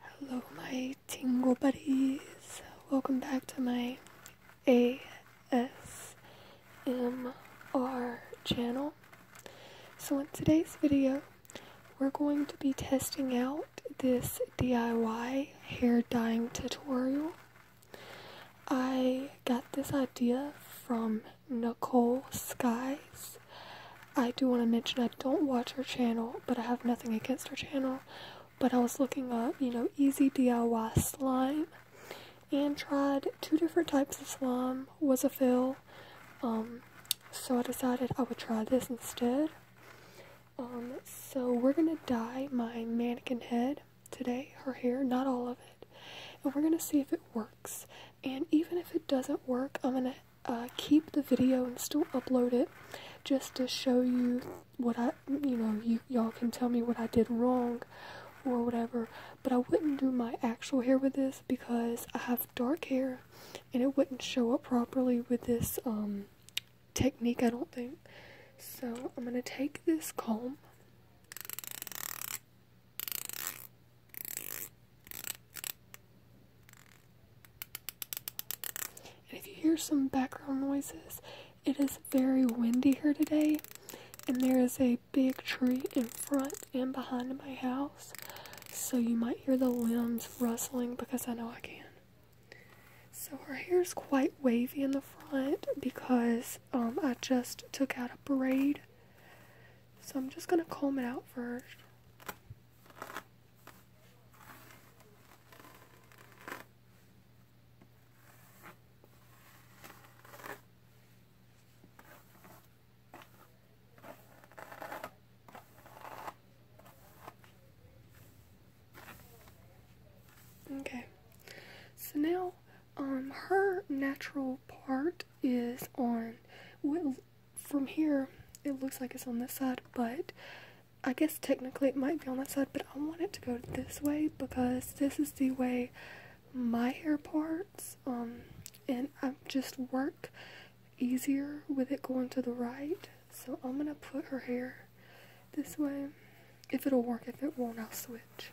Hello, my tingle buddies. Welcome back to my ASMR channel. So, in today's video, we're going to be testing out this DIY hair dyeing tutorial. I got this idea from Nicole Skies. I do want to mention I don't watch her channel, but I have nothing against her channel. But I was looking up, you know, easy DIY slime and tried two different types of slime was a fail. Um, so I decided I would try this instead. Um, so we're gonna dye my mannequin head today, her hair, not all of it, and we're gonna see if it works. And even if it doesn't work, I'm gonna uh, keep the video and still upload it just to show you what I, you know, you all can tell me what I did wrong or whatever. But I wouldn't do my actual hair with this because I have dark hair and it wouldn't show up properly with this um, technique, I don't think. So I'm gonna take this comb if you hear some background noises, it is very windy here today, and there is a big tree in front and behind my house, so you might hear the limbs rustling because I know I can. So her hair is quite wavy in the front because um, I just took out a braid. So I'm just going to comb it out first. Okay, so now um, her natural part is on well, from here it looks like it's on this side but I guess technically it might be on that side but I want it to go this way because this is the way my hair parts um and I just work easier with it going to the right so I'm gonna put her hair this way if it'll work if it won't I'll switch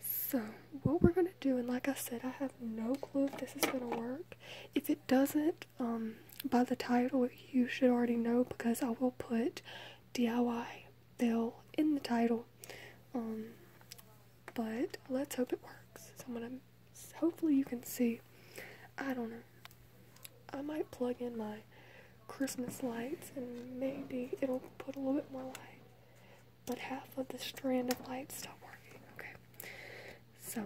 so what we're gonna going do, and like I said, I have no clue if this is gonna work. If it doesn't, um, by the title, you should already know because I will put DIY Bill in the title. Um, but let's hope it works. So I'm gonna, hopefully, you can see. I don't know. I might plug in my Christmas lights and maybe it'll put a little bit more light but half of the strand of light stopped working. Okay, so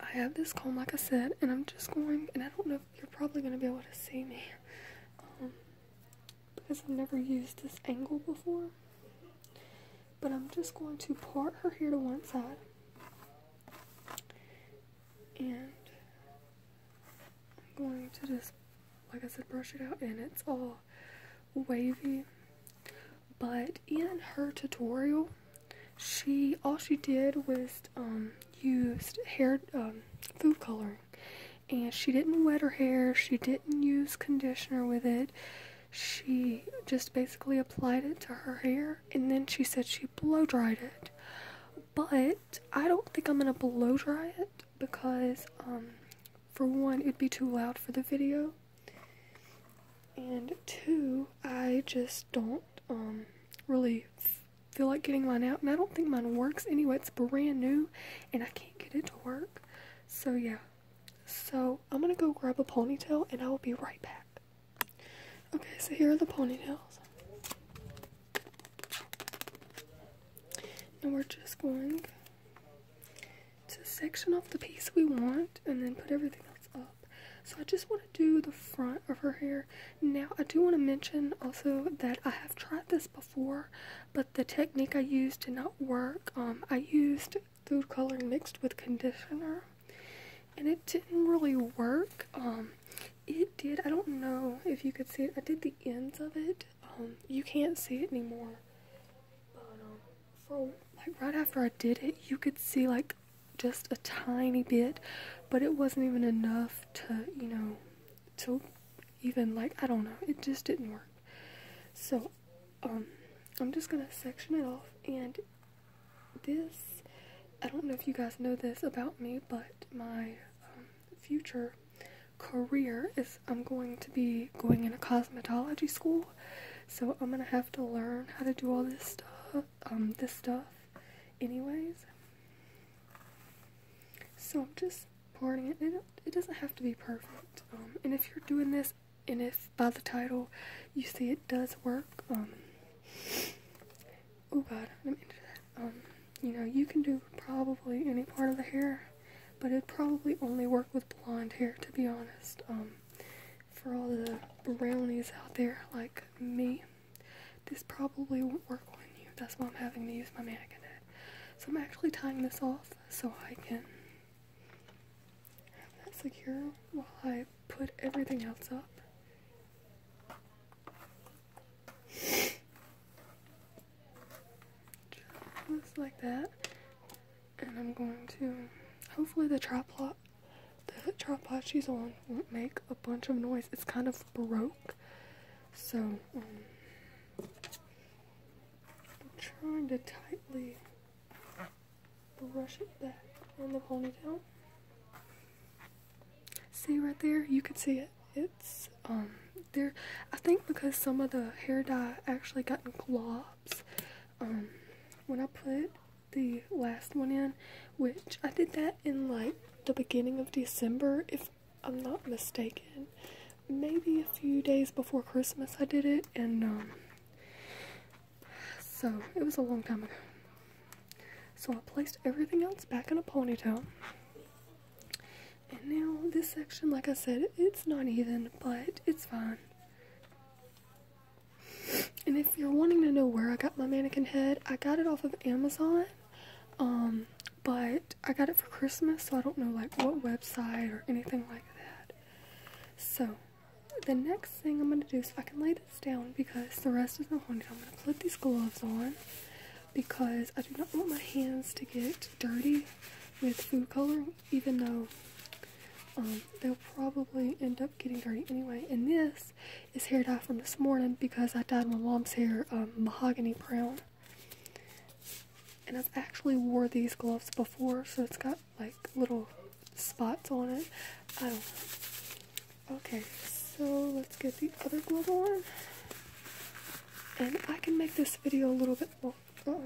I have this comb, like I said, and I'm just going, and I don't know if you're probably going to be able to see me um, because I've never used this angle before, but I'm just going to part her hair to one side and I'm going to just, like I said, brush it out, and it's all wavy but in her tutorial she all she did was um, used hair um, food coloring and she didn't wet her hair she didn't use conditioner with it she just basically applied it to her hair and then she said she blow dried it but i don't think i'm gonna blow dry it because um, for one it'd be too loud for the video and two, I just don't um, really feel like getting mine out. And I don't think mine works anyway. It's brand new and I can't get it to work. So, yeah. So, I'm going to go grab a ponytail and I will be right back. Okay, so here are the ponytails. And we're just going to section off the piece we want and then put everything else up. So I just want to do the front of her hair. Now I do want to mention also that I have tried this before, but the technique I used did not work. Um, I used food coloring mixed with conditioner and it didn't really work. Um, it did, I don't know if you could see it, I did the ends of it. Um, you can't see it anymore. But um, for like right after I did it, you could see like just a tiny bit, but it wasn't even enough to you know to even like I don't know. It just didn't work. So um, I'm just gonna section it off and this. I don't know if you guys know this about me, but my um, future career is I'm going to be going into cosmetology school. So I'm gonna have to learn how to do all this stuff um this stuff anyways. So I'm just pouring it. It, it doesn't have to be perfect. Um, and if you're doing this, and if by the title you see it does work, um, oh god, let me Um, you know, you can do probably any part of the hair but it probably only work with blonde hair to be honest. Um, for all the brownies out there like me, this probably won't work on you. That's why I'm having to use my mannequin head. So I'm actually tying this off so I can have that secure while I put everything else up. Just like that and I'm going to hopefully the tripod the tripod she's on won't make a bunch of noise. It's kind of broke. So um, I'm trying to tightly brush it back in the ponytail. See right there? You can see it. It's um there I think because some of the hair dye actually got in claw um, when I put the last one in, which I did that in like the beginning of December, if I'm not mistaken, maybe a few days before Christmas I did it, and um, so it was a long time ago. So I placed everything else back in a ponytail. And now this section, like I said, it's not even, but it's fine. And if you're wanting to know where I got my mannequin head, I got it off of Amazon. Um, but I got it for Christmas, so I don't know like what website or anything like that. So the next thing I'm gonna do is so I can lay this down because the rest of my haunted. I'm gonna put these gloves on because I do not want my hands to get dirty with food coloring even though um, they'll probably end up getting dirty anyway. And this is hair dye from this morning because I dyed my mom's hair um, mahogany brown. And I've actually wore these gloves before, so it's got like little spots on it. I don't know. Okay, so let's get the other glove on. And I can make this video a little bit more. -oh.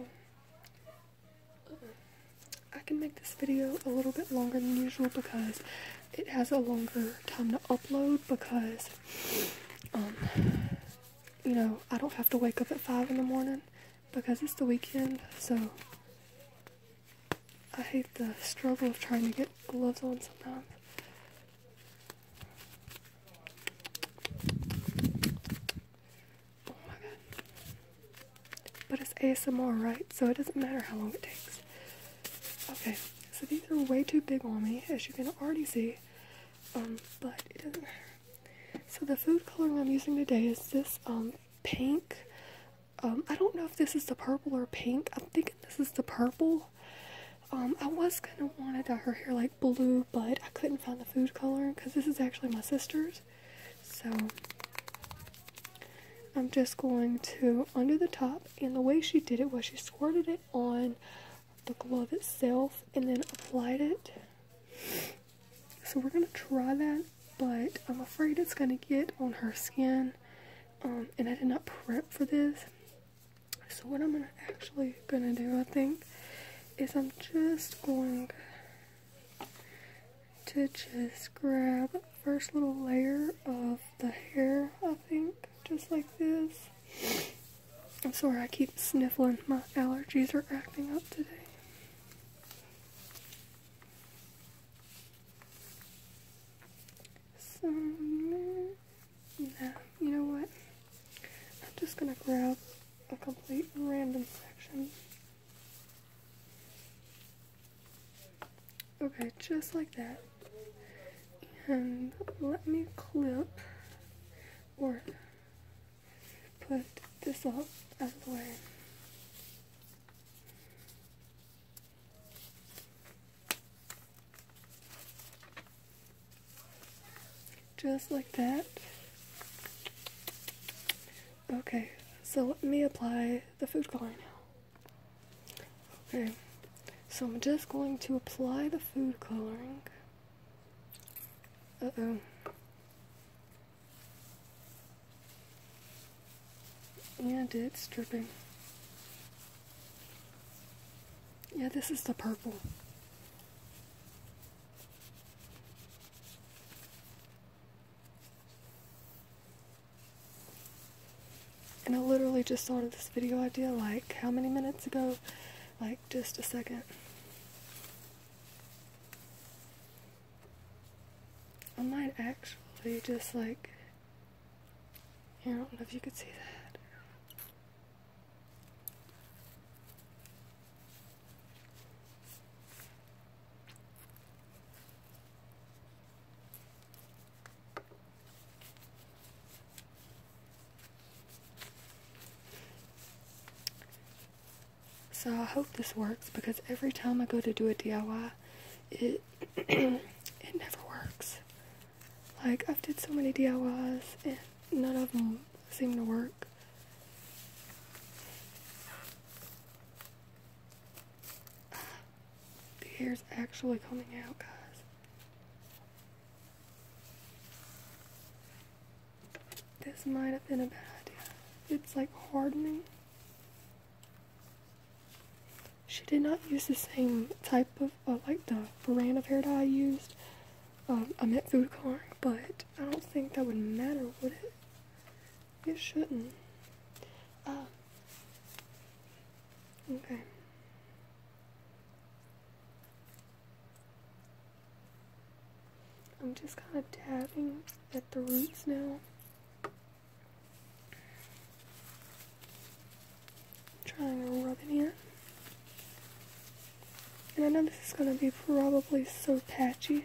I can make this video a little bit longer than usual because it has a longer time to upload because, um, you know, I don't have to wake up at 5 in the morning because it's the weekend, so I hate the struggle of trying to get gloves on sometimes. Oh my god. But it's ASMR, right? So it doesn't matter how long it takes. Okay, so these are way too big on me, as you can already see. Um, but it doesn't matter. So the food coloring I'm using today is this um pink. Um, I don't know if this is the purple or pink. I'm thinking this is the purple. Um, I was gonna want to dye her hair like blue but I couldn't find the food color because this is actually my sister's. So I'm just going to under the top, and the way she did it was she squirted it on the glove itself and then applied it. So we're going to try that, but I'm afraid it's going to get on her skin. Um, and I did not prep for this. So what I'm gonna actually going to do, I think, is I'm just going to just grab first little layer of the hair, I think, just like this. I'm sorry I keep sniffling. My allergies are acting up today. So, nah, you know what? I'm just gonna grab a complete random section Okay, just like that. And let me clip or put this off out of the way just like that. Okay, so let me apply the food coloring now. Okay, so I'm just going to apply the food coloring. Uh oh. And it's dripping. Yeah, this is the purple. And I literally just thought of this video idea like how many minutes ago? Like just a second. I might actually just like, I don't know if you could see that. So I hope this works because every time I go to do a DIY, it it never works. Like I've did so many DIYs and none of them seem to work work. Uh, the hair's actually coming out, guys. This might have been a bad idea. It's like hardening. She did not use the same type of, uh, like the brand of hair dye I used. Um, I meant food coloring, but I don't think that would matter, would it? You shouldn't. Oh. Okay. I'm just kind of dabbing at the roots now. Trying to rub it in. And I know this is going to be probably so patchy.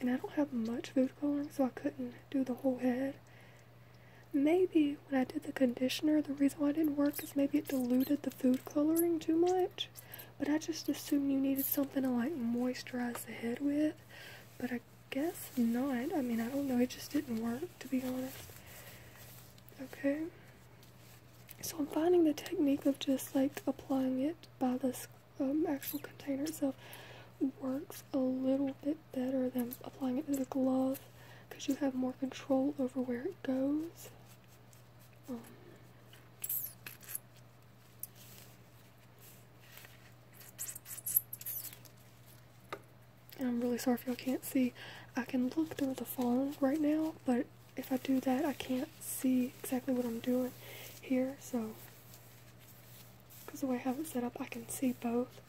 and I don't have much food coloring, so I couldn't do the whole head. Maybe when I did the conditioner, the reason why it didn't work is maybe it diluted the food coloring too much. But I just assumed you needed something to like moisturize the head with, but I guess not. I mean, I don't know. It just didn't work, to be honest. Okay. So I'm finding the technique of just like applying it by the um, actual container itself works a little bit better than applying it to the glove because you have more control over where it goes. Um, I'm really sorry if y'all can't see. I can look through the phone right now, but if I do that, I can't see exactly what I'm doing here, so because the way I have it set up, I can see both,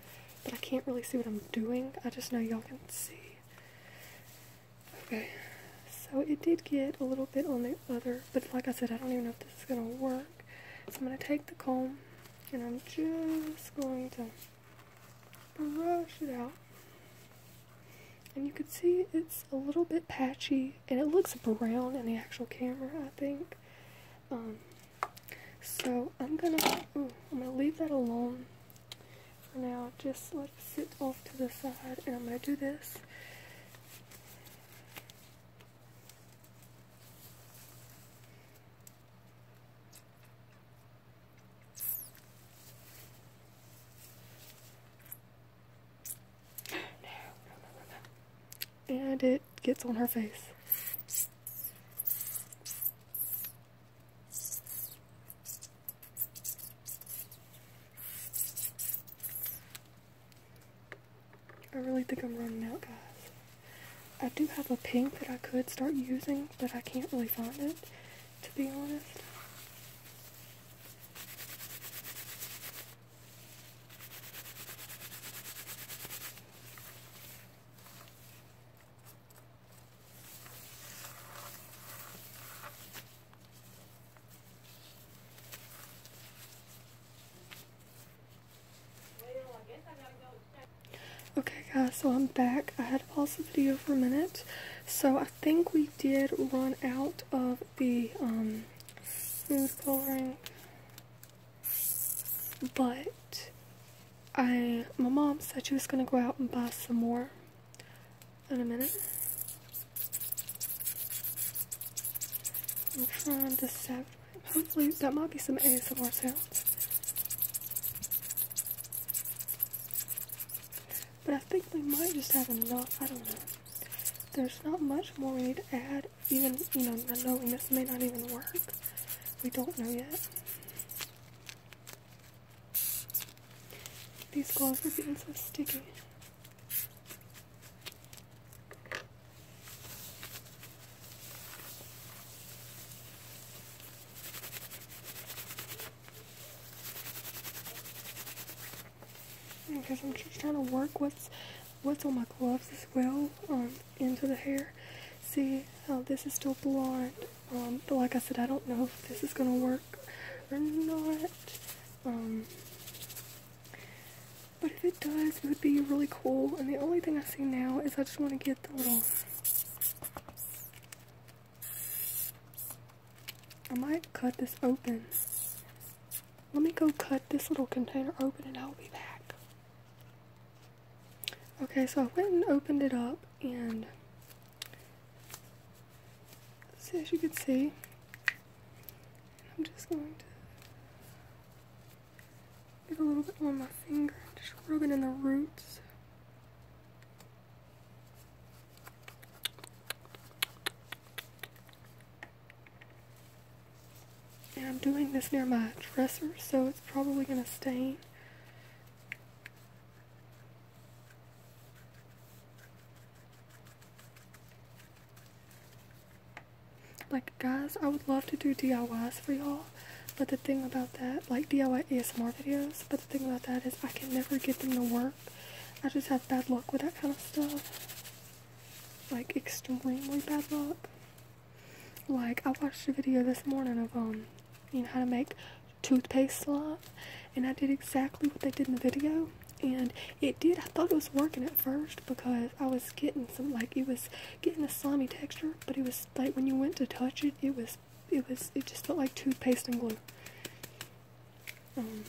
but I can't really see what I'm doing. I just know y'all can see. Okay, so it did get a little bit on the other, but like I said, I don't even know if this is going to work. So I'm going to take the comb, and I'm just going to brush it out. And you can see it's a little bit patchy, and it looks brown in the actual camera, I think. Um, so I'm gonna I'm gonna leave that alone for now. Just let it sit off to the side, and I'm gonna do this and it gets on her face. I really think I'm running out, guys. I do have a pink that I could start using, but I can't really find it, to be honest. Okay guys, so I'm back. I had to pause the video for a minute. So I think we did run out of the um, food coloring. But I my mom said she was gonna go out and buy some more in a minute. I'm trying to separate. Hopefully that might be some ASMR sounds. But I think we might just have enough. I don't know. There's not much more we need to add even, you know, knowing this may not even work. We don't know yet. These gloves are being so sticky. Because I'm just trying to work what's what's on my gloves as well. Um, into the hair. See how this is still blonde. Um, but like I said, I don't know if this is gonna work or not. Um, but if it does, it would be really cool. And the only thing I see now is I just want to get the little. I might cut this open. Let me go cut this little container open and I'll be back. Okay, so I went and opened it up, and see, as you can see, I'm just going to get a little bit on my finger, just rubbing in the roots. And I'm doing this near my dresser, so it's probably going to stain. Like, guys, I would love to do DIYs for y'all, but the thing about that, like DIY ASMR videos, but the thing about that is I can never get them to work. I just have bad luck with that kind of stuff. Like, extremely bad luck. Like I watched a video this morning of um, you know how to make toothpaste slime, and I did exactly what they did in the video, and it did. I thought it was working at first because I was getting some like it was getting a slimy texture, but it was like when you went to touch it, it was it was it just felt like toothpaste and glue. Um,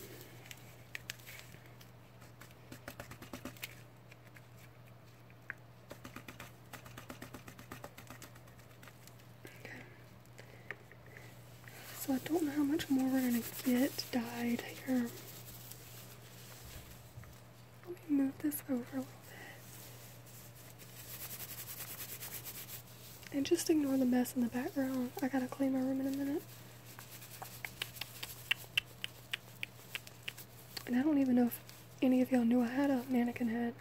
so I don't know how much more we're gonna get dyed here. Let me move this over a little bit. And just ignore the mess in the background. I gotta clean my room in a minute. And I don't even know if any of y'all knew I had a mannequin head.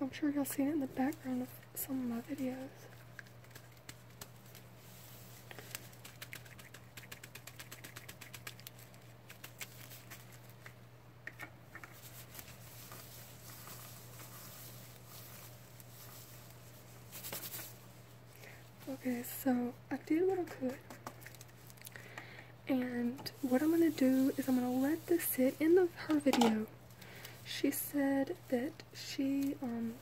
I'm sure y'all seen it in the background of some of my videos. Okay, so I did what I could. And what I'm going to do is I'm going to let this sit in the, her video. She said that she, um,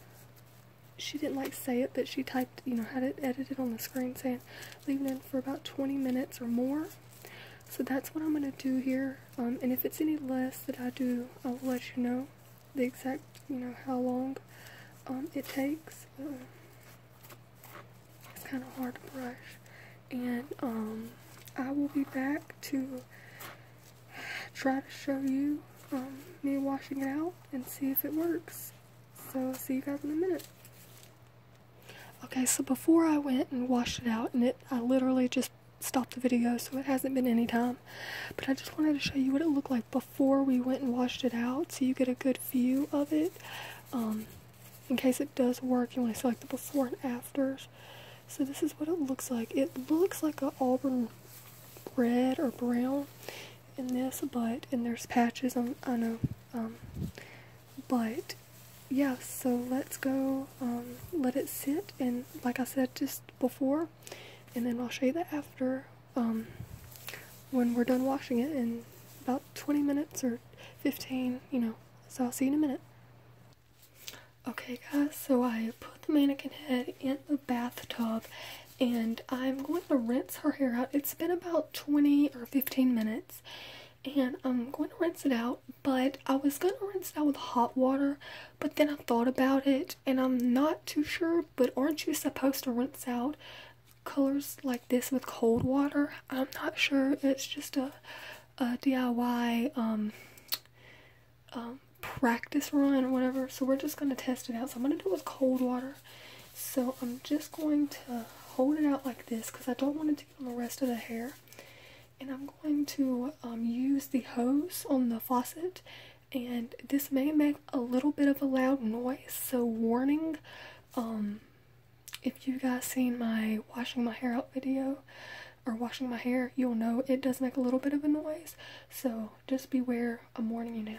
she didn't like say it, but she typed, you know, had it edited on the screen saying leaving it for about 20 minutes or more. So that's what I'm going to do here. Um, and if it's any less that I do, I'll let you know the exact, you know, how long. Um, it takes, um, it's kind of hard to brush. And um, I will be back to try to show you me washing it out and see if it works. So I'll see you guys in a minute. Okay, so before I went and washed it out, and it I literally just stopped the video, so it hasn't been any time. But I just wanted to show you what it looked like before before we went and washed it out so you get a good view of it um, in case it does work you want to select the before and afters so this is what it looks like it looks like a auburn red or brown in this but and there's patches on I know but yeah so let's go um, let it sit and like I said just before and then I'll show you the after um, when we're done washing it in about 20 minutes or 15, you know. So I'll see you in a minute. Okay guys, so I put the mannequin head in the bathtub and I'm going to rinse her hair out. It's been about 20 or 15 minutes and I'm going to rinse it out, but I was going to rinse it out with hot water, but then I thought about it and I'm not too sure, but aren't you supposed to rinse out colors like this with cold water. I'm not sure. It's just a, DIY um, um, practice run or whatever. So we're just going to test it out. So I'm going to do it with cold water. So I'm just going to hold it out like this because I don't want it to get on the rest of the hair. And I'm going to um, use the hose on the faucet. And this may make a little bit of a loud noise, so warning. Um, if you guys seen my washing my hair out video or washing my hair, you'll know it does make a little bit of a noise. So just beware. I'm warning you now.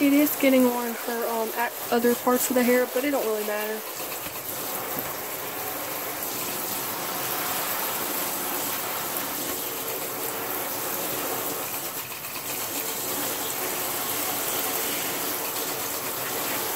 It is getting on her um, other parts of the hair, but it don't really matter.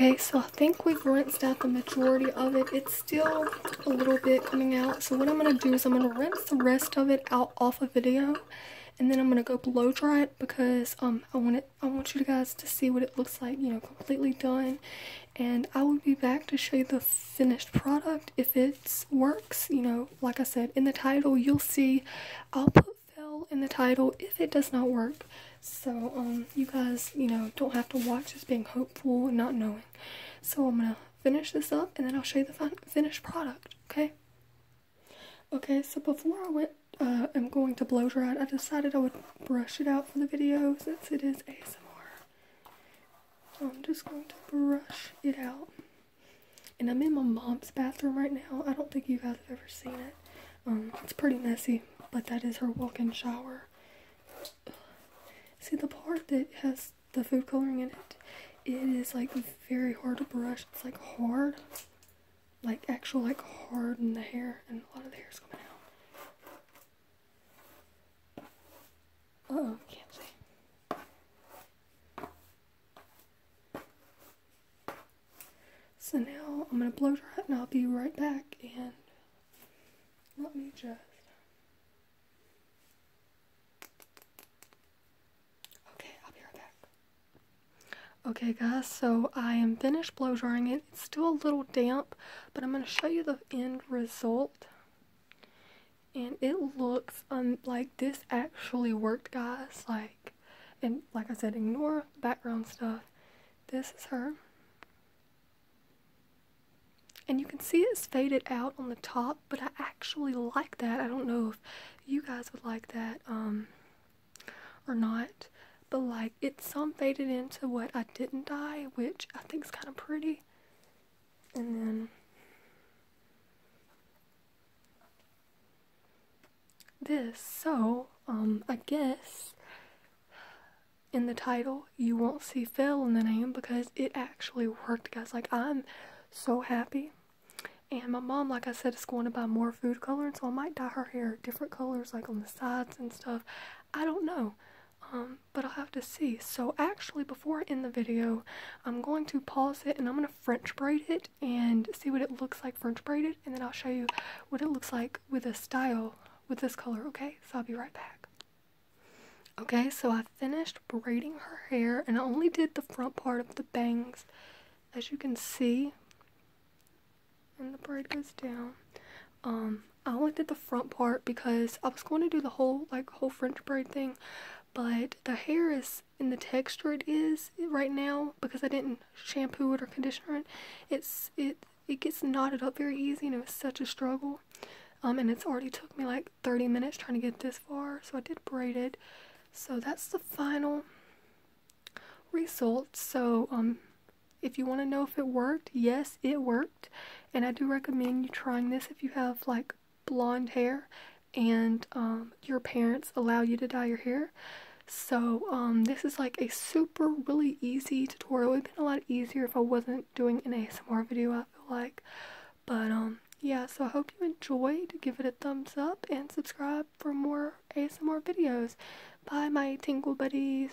Okay, so I think we've rinsed out the majority of it. It's still a little bit coming out. So what I'm going to do is I'm going to rinse the rest of it out off a of video. And then I'm going to go blow dry it because um, I want it. I want you guys to see what it looks like, you know, completely done and I will be back to show you the finished product if it works you know like I said in the title you'll see I'll put fail in the title if it does not work so um, you guys you know don't have to watch us being hopeful and not knowing so I'm gonna finish this up and then I'll show you the finished product okay okay so before I went I'm uh, going to blow dry it I decided I would brush it out for the video since it is ASMR I'm just going to brush it out. And I'm in my mom's bathroom right now. I don't think you guys have ever seen it. Um, it's pretty messy, but that is her walk-in shower. See, the part that has the food coloring in it, it is like very hard to brush. It's like hard, like actual like hard in the hair, and a lot of the is coming out. Oh, can't see. So now I'm gonna blow dry it and I'll be right back and let me just Okay, I'll be right back. Okay guys, so I am finished blow drying it. It's still a little damp, but I'm gonna show you the end result and it looks um, like this actually worked guys like and like I said ignore background stuff. This is her. And you can see it's faded out on the top, but I actually like that. I don't know if you guys would like that um or not. But like it's some faded into what I didn't dye, which I think is kind of pretty. And then this. So, um, I guess in the title you won't see Phil in the name because it actually worked, guys. Like, I'm so happy. And my mom, like I said, is going to buy more food coloring, so I might dye her hair different colors, like on the sides and stuff. I don't know. Um, but I'll have to see. So actually, before I end the video, I'm going to pause it and I'm going to French braid it and see what it looks like French braided, and then I'll show you what it looks like with a style with this color, okay? So I'll be right back. Okay, so I finished braiding her hair, and I only did the front part of the bangs, as you can see, and the braid goes down. Um, I only did the front part because I was going to do the whole like whole French braid thing, but the hair is and the texture it is right now because I didn't shampoo it or conditioner it. It's it it gets knotted up very easy and it was such a struggle. Um, and it's already took me like 30 minutes trying to get this far, so I did braided. So that's the final result. So um, if you want to know if it worked, yes, it worked. And I do recommend you trying this if you have like blonde hair and um, your parents allow you to dye your hair. So um, this is like a super really easy tutorial. It would have been a lot easier if I wasn't doing an ASMR video, I feel like. But um, yeah, so I hope you enjoyed. Give it a thumbs up and subscribe for more ASMR videos. Bye, my tingle buddies.